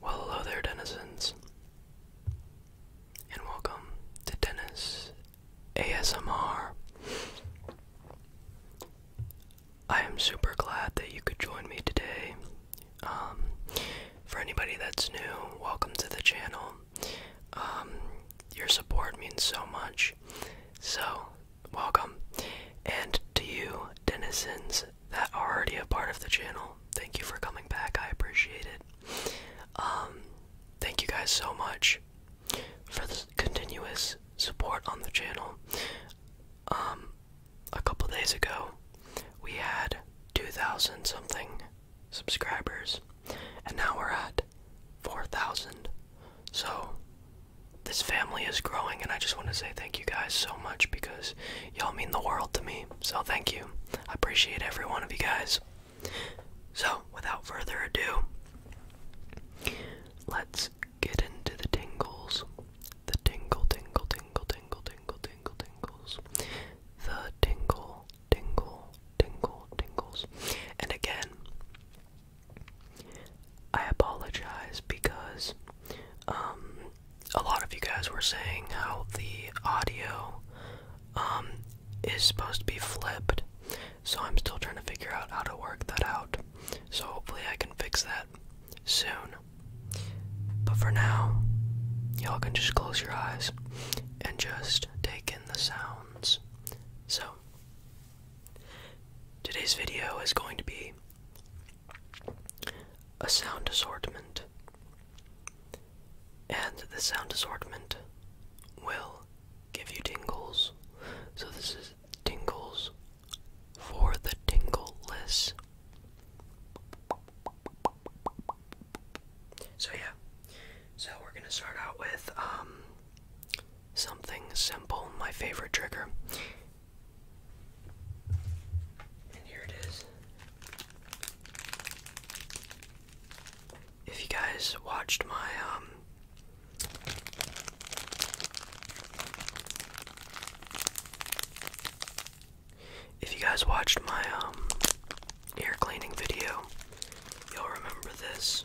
Well, hello there, denizens, and welcome to Dennis ASMR. I am super glad that you could join me today. Um, for anybody that's new, welcome to the channel. Um, your support means so much. So, welcome. And to you, denizens that are already a part of the channel, thank you for coming back. I appreciate it. Um, thank you guys so much for the continuous support on the channel. Um, a couple days ago, we had 2,000 something subscribers, and now we're at 4,000. So, this family is growing, and I just want to say thank you guys so much because y'all mean the world to me. So, thank you. I appreciate every one of you guys. So, without further ado, let's get into the tingles. The tingle, tingle, tingle, tingle, tingle, tingle, tingles. The tingle, tingle, tingle, tingles. And again, I apologize because um, a lot of you guys were saying how the audio um, is supposed to be flipped. So I'm still trying to figure out how to work that out. So hopefully I can fix that soon. But for now, y'all can just close your eyes and just take in the sounds. So, Today's video is going to be a sound assortment, and the sound assortment will give you tingles. So, this is tingles for the tingleless. So, yeah, so we're gonna start out with um, Something simple, my favorite trigger. And here it is. If you guys watched my um If you guys watched my um air cleaning video, you'll remember this.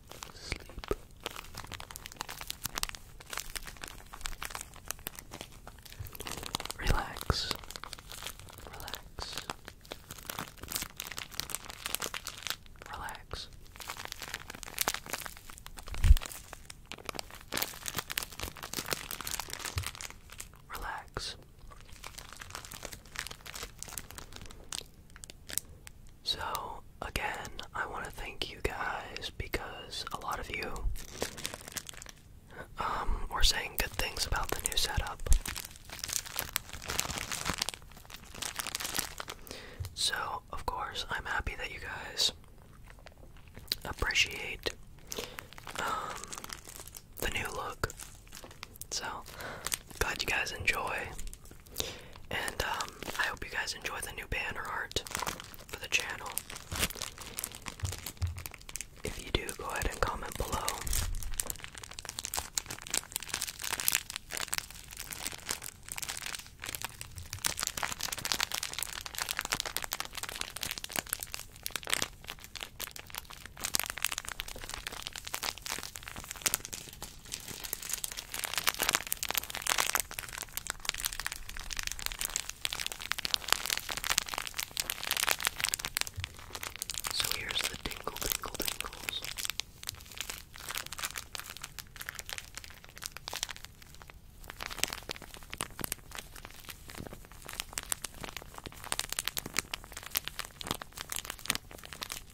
sleep. Relax. Relax. Relax. Relax. So, again, I want to thank you guys because a lot of you um, were saying good things about the new setup. So, of course, I'm happy that you guys appreciate um, the new look. So, glad you guys enjoy. And um, I hope you guys enjoy the new banner art for the channel. If you do, go ahead and comment below. So here's the tingle, tingle, tingles.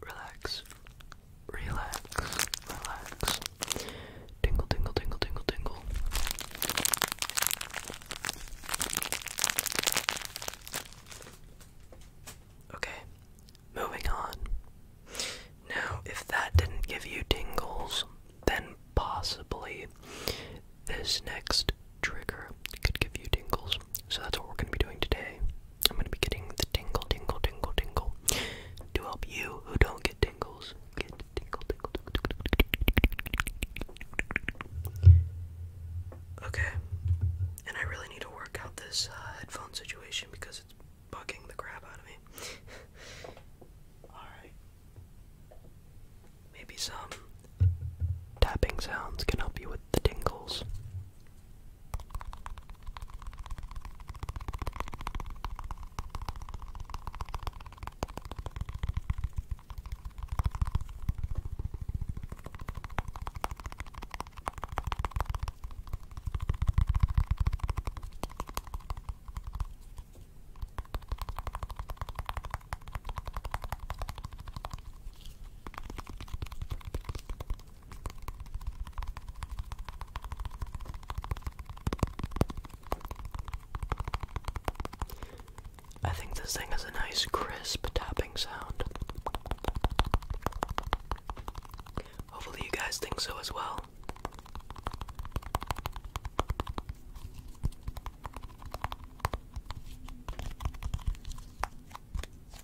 Relax, relax, relax. Tingle, tingle, tingle, tingle, tingle. Okay, moving on. Now, if that didn't give you tingles, then possibly this next trigger could give you tingles. So that's what we're going to be doing today. I'm going to be getting the tingle, tingle, tingle, tingle to help you who don't get tingles Okay. And I really need to work out this uh, headphone situation because it's bugging the crap out of me. Alright. Maybe some tapping sounds can help you with the tingles. I think this thing has a nice crisp tapping sound. Hopefully, you guys think so as well.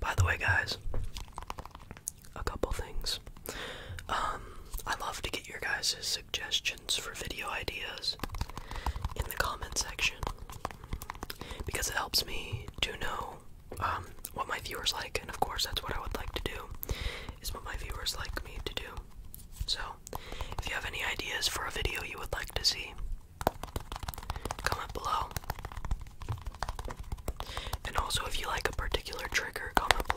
By the way, guys, a couple things. Um, I love to get your guys' suggestions for video ideas in the comment section because it helps me to know um, what my viewers like, and of course, that's what I would like to do is what my viewers like me to do. So, if you have any ideas for a video you would like to see, comment below. And also, if you like a particular trigger, comment below.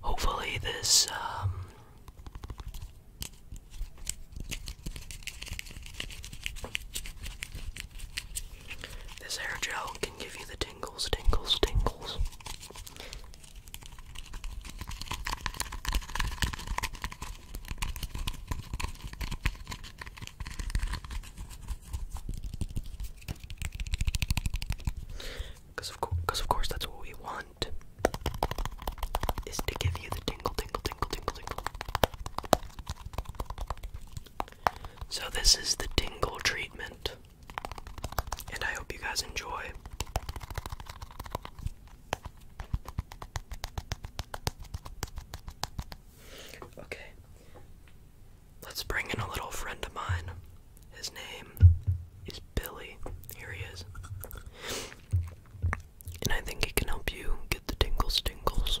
Hopefully, this um, this hair gel can give you the tingles, tingles, tingles. Because of, course that's what we want is to give you the tingle, tingle, tingle, tingle, tingle. So this is the tingle treatment, and I hope you guys enjoy. Okay. Let's bring in a little friend of mine. His name is Billy. Here he is. And I think he can help you get the tingles tingles.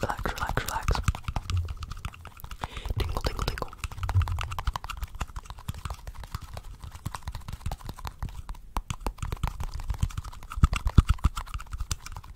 Relax, relax, relax. Tingle, tingle, tingle.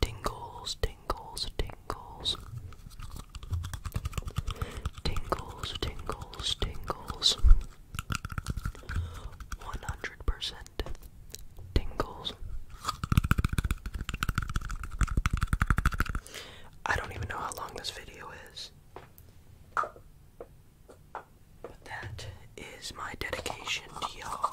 Tingles, tingles, tingles. Tingles, tingles, tingles. 100% pleasant tingles. I don't even know how long this video is. But that is my dedication to y'all.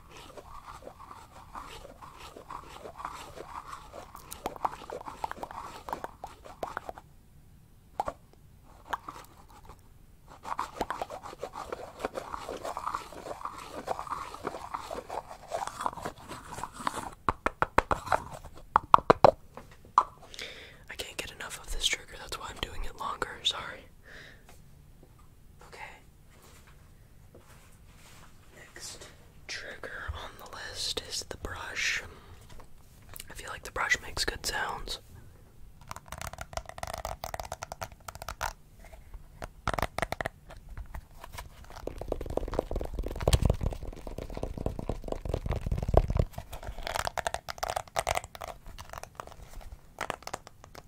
I can't get enough of this trigger, that's why I'm doing it longer. Sorry. Okay. Next trigger on the list is the brush. I feel like the brush makes good sounds.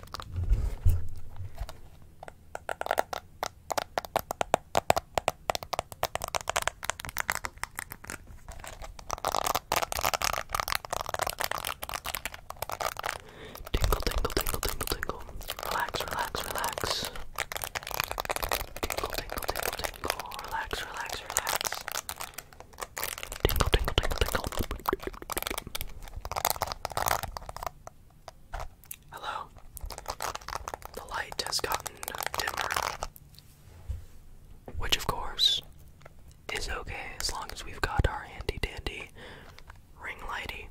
Tingle, tingle, tingle, tingle, tingle. Relax, relax, relax. Tingle, tingle, tingle, tingle. Relax, relax, relax. Tingle, tingle, tingle, tingle. Hello. The light has gotten dimmer. Which, of course, is okay as long as we've got our handy dandy ring lighty.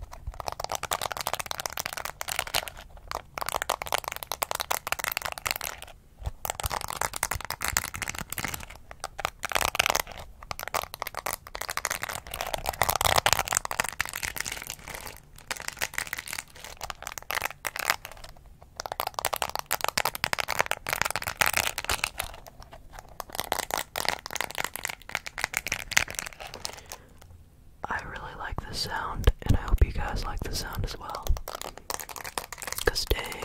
I really like the sound, and I hope you guys like the sound as well. Cause dang.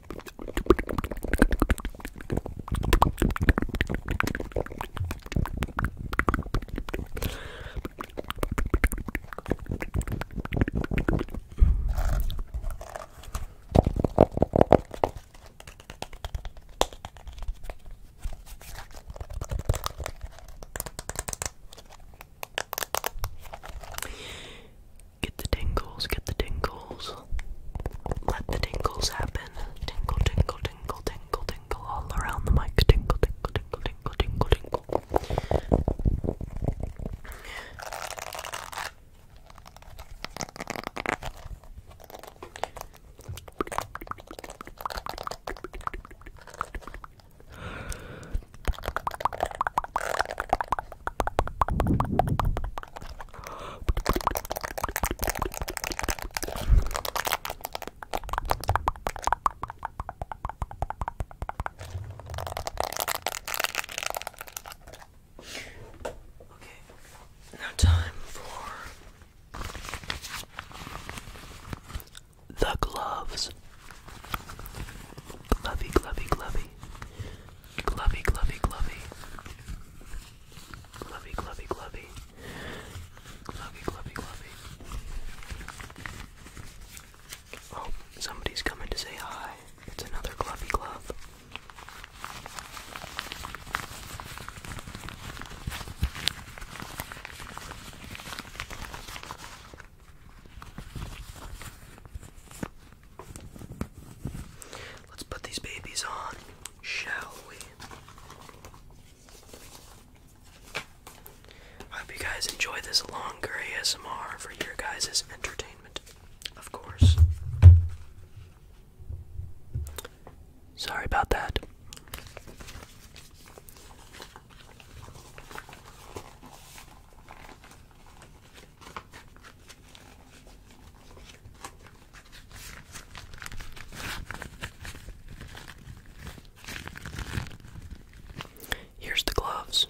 Get the tingles, get the tingles tingles. Let the tingles happen. Tingle, tingle, tingle, tingle, tingle all around the mic. Tingle, tingle, tingle, tingle, tingle, tingle. Okay, now time for the gloves. Glovey, glovey, glovey. Glovey, glovey, glovey. Glovey, glovey, glovey. Glovey, glovey, glovey. Oh, somebody's coming to say hi. It's another glovey glove. Let's put these babies on, shall we? I hope you guys enjoy this long gray ASMR for your guys' entertainment, of course. Sorry about that. Here's the gloves.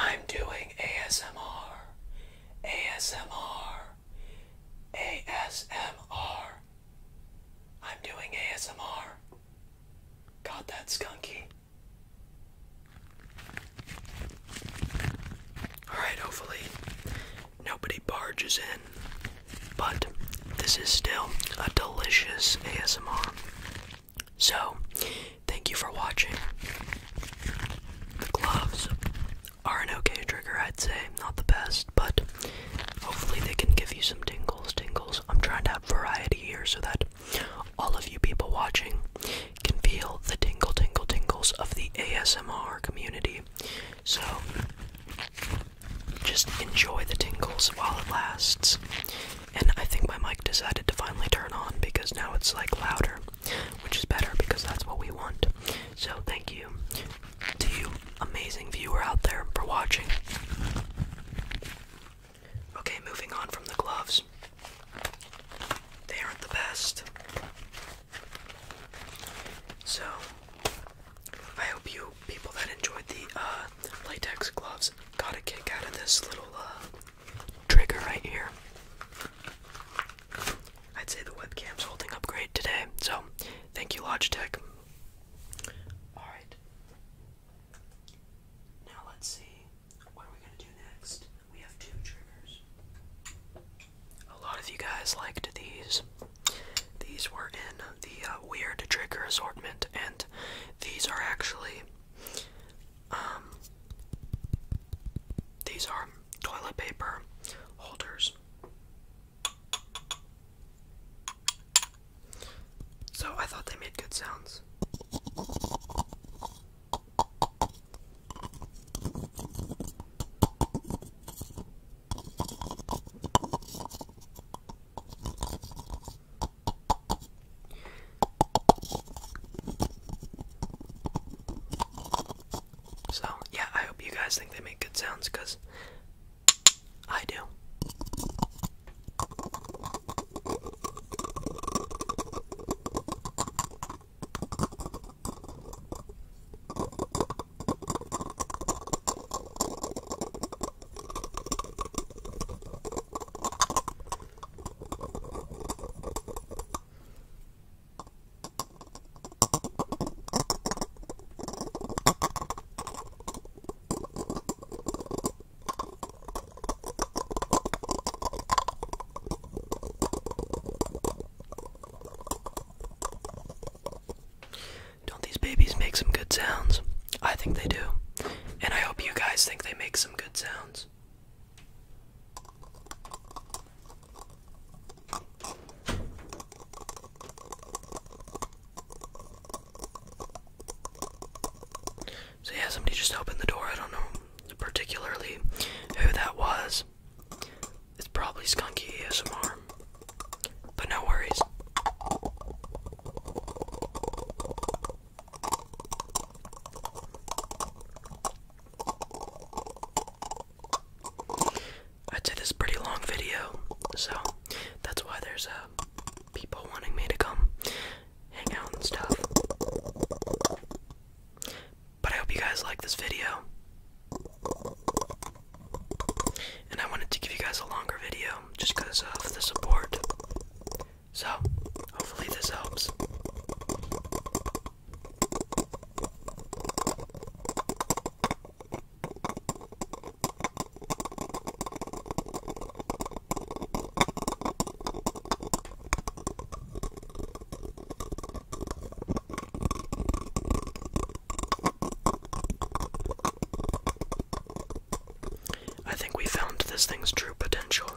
I'm doing ASMR, ASMR, ASMR. I'm doing ASMR. Got that skunky. Alright, hopefully nobody barges in. But this is still a delicious ASMR. So, thank you for watching. The gloves are an okay trigger, I'd say. Not the best, but Hopefully, they can give you some tingles, tingles. I'm trying to have variety here so that all of you people watching can feel the tingle, tingle, tingles of the ASMR community. So, just enjoy the tingles while it lasts. And I think my mic decided to finally turn on because now it's like louder, which is better because that's what we want. So, thank you to you, amazing viewer out there, for watching. Okay, moving on from the gloves. They aren't the best. So, I hope you people that enjoyed the uh, latex gloves got a kick out of this little uh, trigger right here. I'd say the webcam's holding up great today, so thank you, Logitech. Alright. Now let's see. What are we going to do next? We have two triggers. A lot of you guys liked these. These were in the uh, weird trigger assortment, and these are actually. Um, these are toilet paper holders. So I thought they made good sounds. So, yeah, I hope you guys think they make good sounds because I do. Don't these babies make some good sounds? I think they do. And I hope you guys think they make some good sounds. So yeah, somebody just opened the door. I don't know particularly who that was. It's probably Skunky ASMR. But no worries. I'd say this is a pretty long video, so that's why there's uh, people wanting me to come hang out and stuff. But I hope you guys like this video. And I wanted to give you guys a longer video just because of the support. So, hopefully, this helps. I think we found this thing's true potential.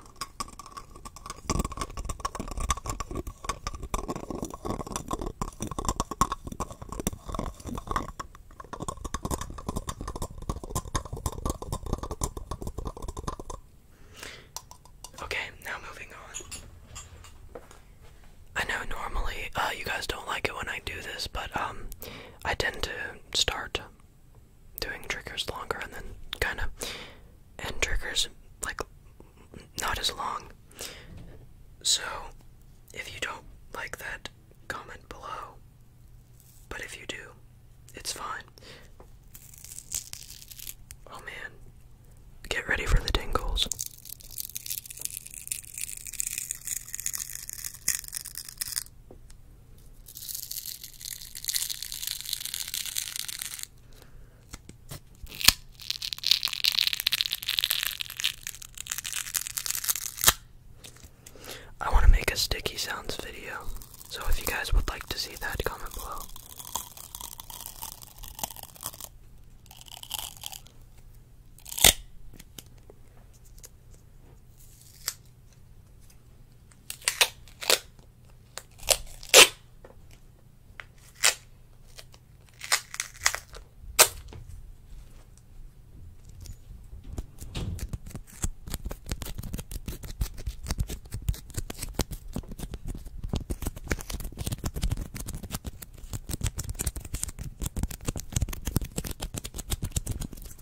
Okay, now moving on. I know normally uh, you guys don't like it when I do this, but um, I tend to start doing triggers longer and then kind of end triggers like not as long. So, if you don't like that, comment below. But if you do, it's fine. Oh man. Get ready for the tingles. I want to make a sticky sounds video, so if you guys would like to see that, comment below.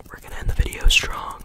We're gonna end the video strong.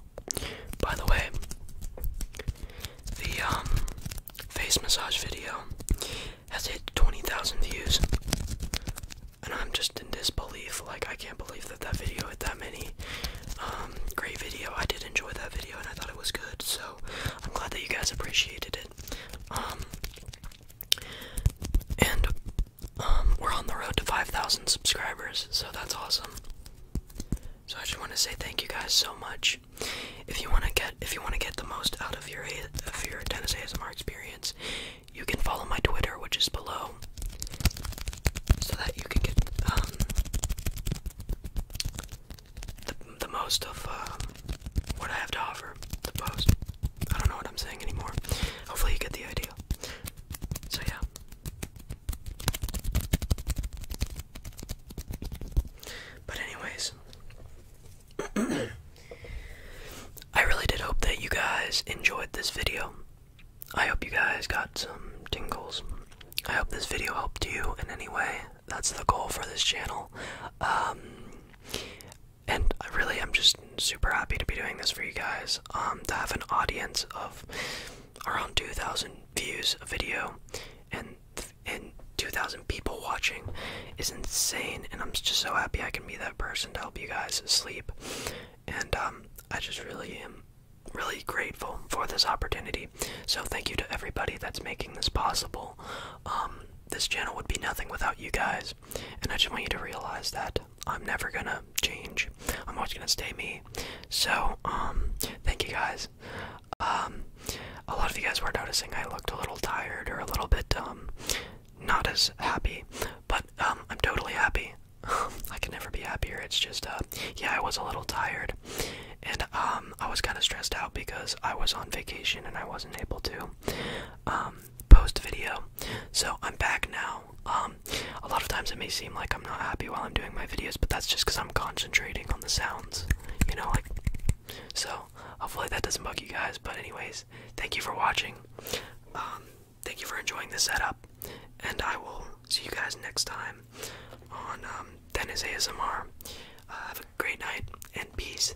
By the way, the um, face massage video has hit 20,000 views. And I'm just in disbelief. Like, I can't believe that that video hit that many. Um, great video. I did enjoy that video and I thought it was good. So, I'm glad that you guys appreciated it. Um, and we're on the road to 5,000 subscribers. So, that's awesome. So I just want to say thank you guys so much. If you want to get if you want to get the most out of your of your Dennis ASMR experience, you can follow my Twitter, which is below, so that you can get um, the the most of um, what I have to offer. The post. I don't know what I'm saying anymore. Hopefully you get the idea. So yeah, but, anyways, I really did hope that you guys enjoyed this video. I hope you guys got some tingles. I hope this video helped you in any way. That's the goal for this channel. Um, and I really am just super happy to be doing this for you guys. Um, to have an audience of around 2,000 views a video, and and 2,000 people watching is insane. And I'm just so happy I can be that person to help you guys sleep. And um, I just really am really grateful for this opportunity. So thank you to everybody that's making this possible. Um, this channel would be nothing without you guys, and I just want you to realize that. I'm never gonna change. I'm always gonna stay me. So, um, thank you guys. Um, a lot of you guys were noticing I looked a little tired or a little bit, um, not as happy, but, um, I'm totally happy. I can never be happier. It's just, uh, yeah, I was a little tired. And, um, I was kind of stressed out because I was on vacation and I wasn't able to, um, post video. So, I'm back now. Um, a lot of times it may seem like I'm not happy while I'm doing my videos, but that's just because I'm concentrating on the sounds, you know, like. So hopefully that doesn't bug you guys. But anyways, thank you for watching. Um, thank you for enjoying the setup, and I will see you guys next time on um, Dennis ASMR. Uh, have a great night and peace.